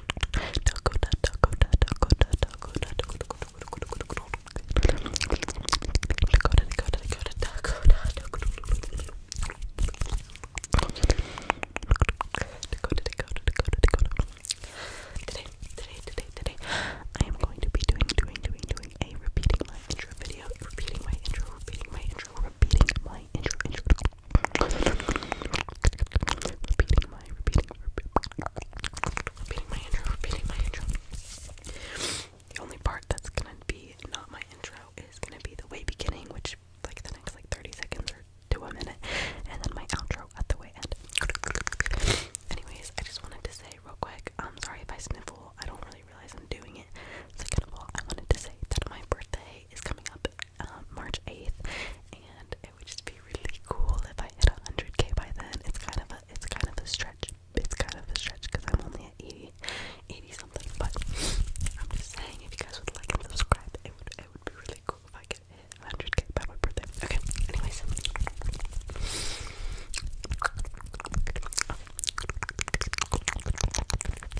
Today, today, today, today, I am going to be doing, doing, doing, doing a repeating my intro video, repeating my intro, repeating my intro, repeating my intro, intro. Repeating my, repeating, repeating my intro, repeating my intro. The only part that's gonna be not my intro is gonna be the way beginning, which like the next like 30 seconds or to a minute, and then my outro at the way end. Anyways, I just wanted to say real quick, I'm um, sorry if I sniffle, I don't really realize I'm doing it. Second of all, I wanted to say that my birthday is coming up um, March 8th, and it would just be really cool if I hit 100k by then. It's kind of a it's kind of a stretch. It's kind of a stretch because I'm only at 80, 80 something. But I'm just saying, if you guys would like and subscribe, it would it would be really cool if I could hit 100k by my birthday. Okay. Anyways.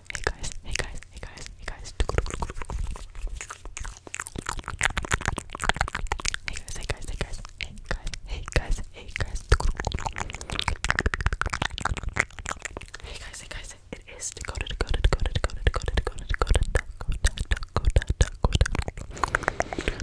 Hey guys, hey guys, hey guys, hey guys. Hey guys, hey guys, hey guys, hey guys, hey guys, hey guys. Hey guys, hey guys. It is Dakota, Dakota, Dakota, Dakota, Dakota, Dakota, Dakota, Dakota, Dakota, Dakota, Dakota, Dakota.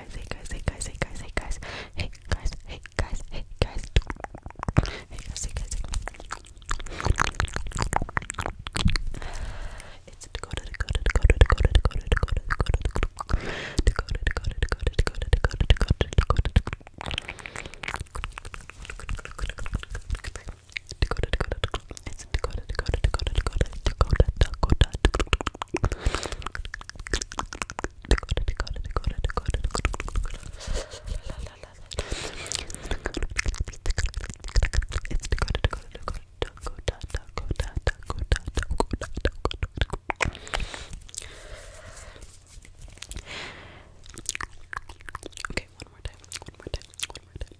guys, hey guys, hey guys, hey guys, hey guys, hey guys, hey guys, hey guys, hey guys, hey guys, it's to go to go to go to go to go to go to go to go to go to go to go to go to go to go to go to it's Dakota, Dakota, Dakota, Dakota, Dakota, Dakota, Okay, one more time. One more time. One more time. One more time.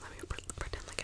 Let me pretend like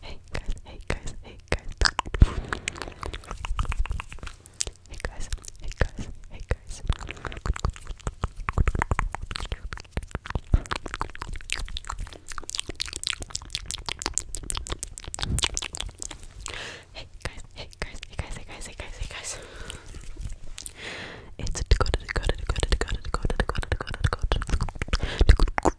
Hey guys, hey guys, hey guys. Hey guys, hey guys, hey guys. Hey guys, hey guys, hey guys, hey guys, hey guys, hey guys. It's a Dakota, Dakota, Dakota, Dakota, Dakota, Dakota, Dakota, Dakota, Dakota.